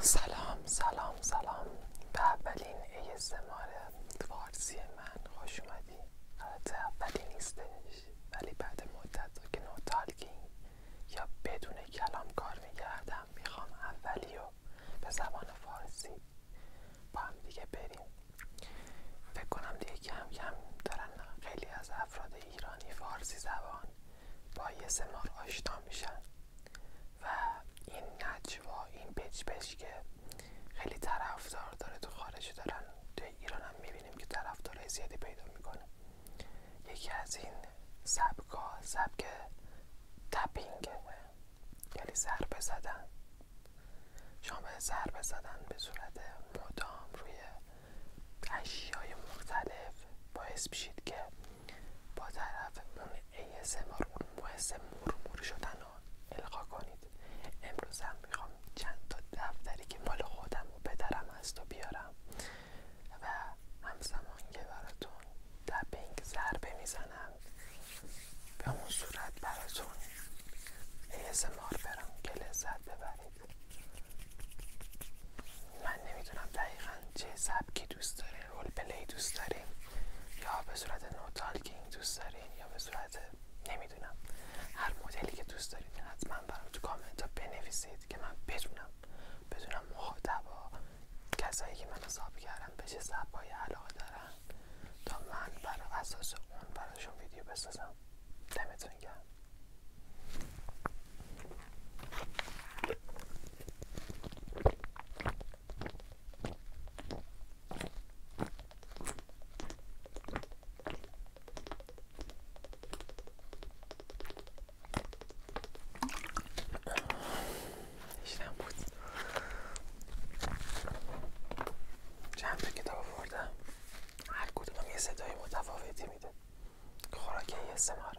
سلام سلام سلام به اولین ASMR فارسی من خوش اومدی البته اولی نیستش ولی بعد مدت ها که یا بدون کلام کار میگردم میخوام اولی رو به زبان فارسی با هم دیگه بریم فکر کنم دیگه کم کم دارن خیلی از افراد ایرانی فارسی زبان با یه سمار آشنا میشن و این نجوا این پچ که خیلی طرفدار داره تو خارج دارن تو ایران هم میبینیم که طرفدارای زیادی پیدا میکنه یکی از این سبکا سبک تپینگ یعنی ضربه زدن شما به زدن به صورت مدام روی اشیای مختلف باعث میشید که با طرف اون ASMR اون محس مرمور شدن رو القا کنید امروز هم میخوام چند تا دفتری که مال خودم و پدرم هست و بیارم و همزمان که براتون دبینگ ضربه میزنم به اون صورت براتون ASMR برم که لذت ببرید من نمیدونم دقیقا چه سبکی دوست دارین رول پلی دوست دارین یا به صورت نوتالکینگ دوست دارین یا به صورت نمیدونم هر مدلی که دوست دارید، حتما برام تو کامنت ها بنویسید که من بدونم بدونم مخاطبا کسایی که من حساب کردم به چه سبایی علاقه دارن تا من بر اساس اون براشون ویدیو بسازم میکنم دمتون گرم چند تا کتاب آوردم هر کدومم یه صدای متفاوتی میده خوراک یه سماره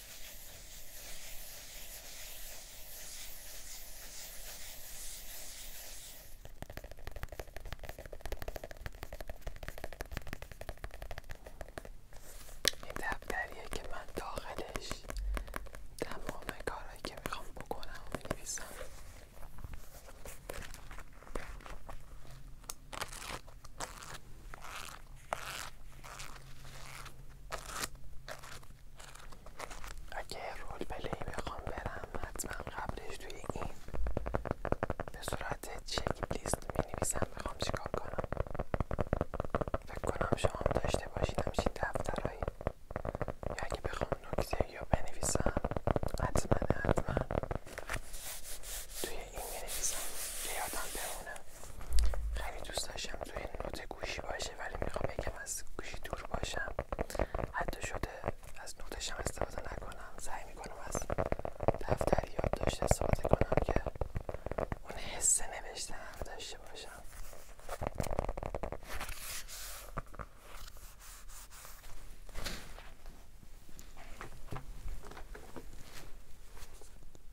این دفتریه که من داخلش تمام کارهایی که میخوام بکنم و بنویسم اگه رول پلی بخوام برم حتما قبلش توی این به صورت چک لیست می نویسم بخوام چیکار کنم فکر کنم شما داشته باشین همچین دفترهایی یا اگه بخوام نکته یا بنویسم حتما حتما توی این انگلیسی که یادم بمونم خیلی دوست داشتم این نوت گوشی باشه ولی میخوام بگم از گوشی دور باشم حتی شده از نوتشم استفاده نکنم سعی میکنم از یاد یادداشت استفاده کنم که اون حس نوشتن داشته باشم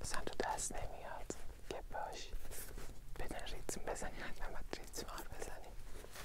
مثلا تو دست نمیاد که باش بدن ریتم بزنی حتما باید ریتم بزنی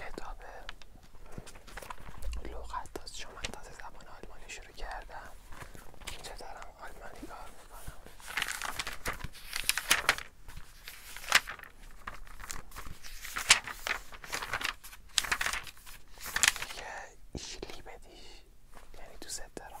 کتاب لغت از شما از زبان آلمانی شروع کردم اینجا دارم آلمانی کار میکنم یه ایشلی بدیش یعنی دوست دارم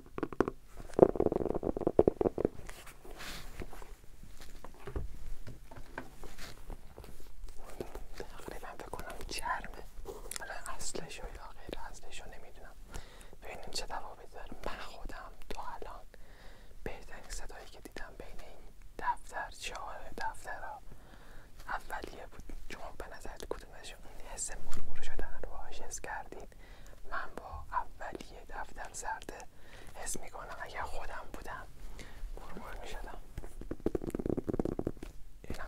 تقریبا فکر کنم چرمه حالا اصلشو یا غیر اصلشو نمیدونم ببینیم چه دوابی داره من خودم تو الان بهترین صدایی که دیدم بین این دفتر چهار دفتر اولیه بود شما به نظرت کدومشون حس مرمور شدن رو آشز کردیم من با اولیه دفتر زرده حس میکنم اگر خودم بودم برمور میشدم این هم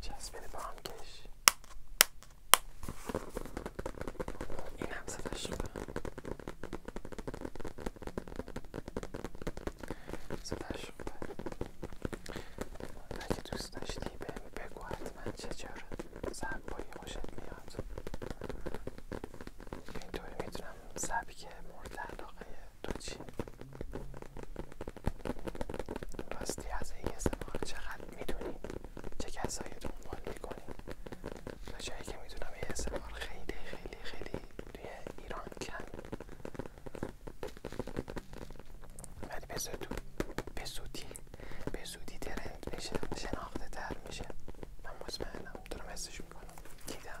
چسبیده با هم کش این هم صدا شده صدا شده اگه دوست داشتی بهم بگو حتما چجور سبایی خوشت میاد اینطوری میتونم سبک مورد علاقه تو چی؟ راستی از ASMR چقدر میدونی؟ چه کسایی دنبال میکنی؟ تا جایی که میدونم ASMR خیلی خیلی خیلی توی ایران کم ولی به زودی به زودی به شناخته تر میشه من مطمئنم تو رو میکنم دیدم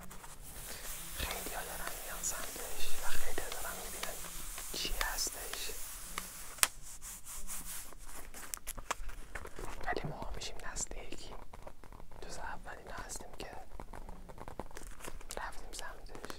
خیلی ها دارن میان سمتش و خیلی ها دارن میبینن چی هستش ولی ما میشیم نسل یکی جز اولین هستیم که رفتیم سمتش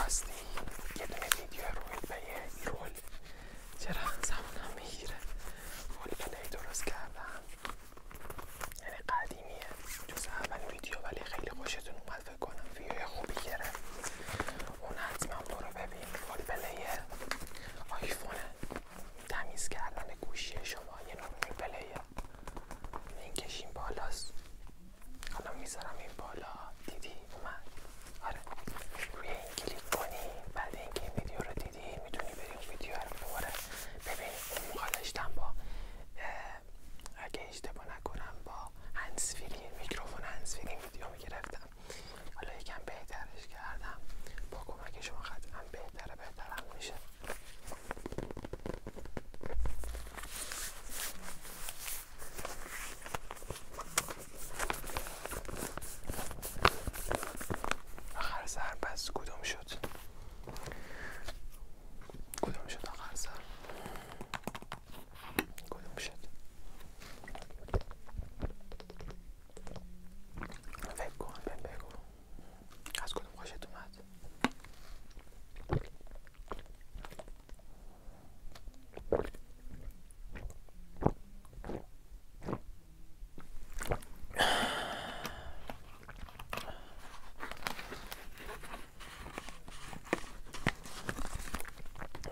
راستی یه دونه ویدیو روی به یه رول چرا زمانم میگیره رول پلی درست کردم یعنی قدیمیه جز اول ویدیو ولی خیلی خوشتون اومد فکر کنم ویدیو خوبی گرفت اون حتما رو ببین رول پلی آیفونه تمیز کردن گوشی شما یه نوع رول پلیه این کشیم بالاست حالا میذارم این بالا دیدی اومد آره روی این کلیک کنی بعد اینکه این ویدیو رو دیدی میتونی بری اون ویدیو رو ببره ببین اون مقالشتم با اگه اشتباه نکنم با هنسفیری میکروفون هنسفیری ویدیو میگرفتم حالا یکم بهترش کردم با کمک شما قطعا بهتره بهترم میشه آخر سر پس کدوم شد کدوم شد آخر سر کدوم شد فکر کن بگو از کدوم خوشت اومد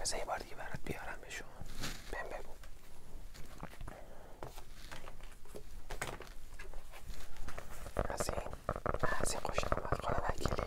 بذار یه بار دیگه برات بیارم بهشون بهم بگو از این از این خوشم از خدا وکیلی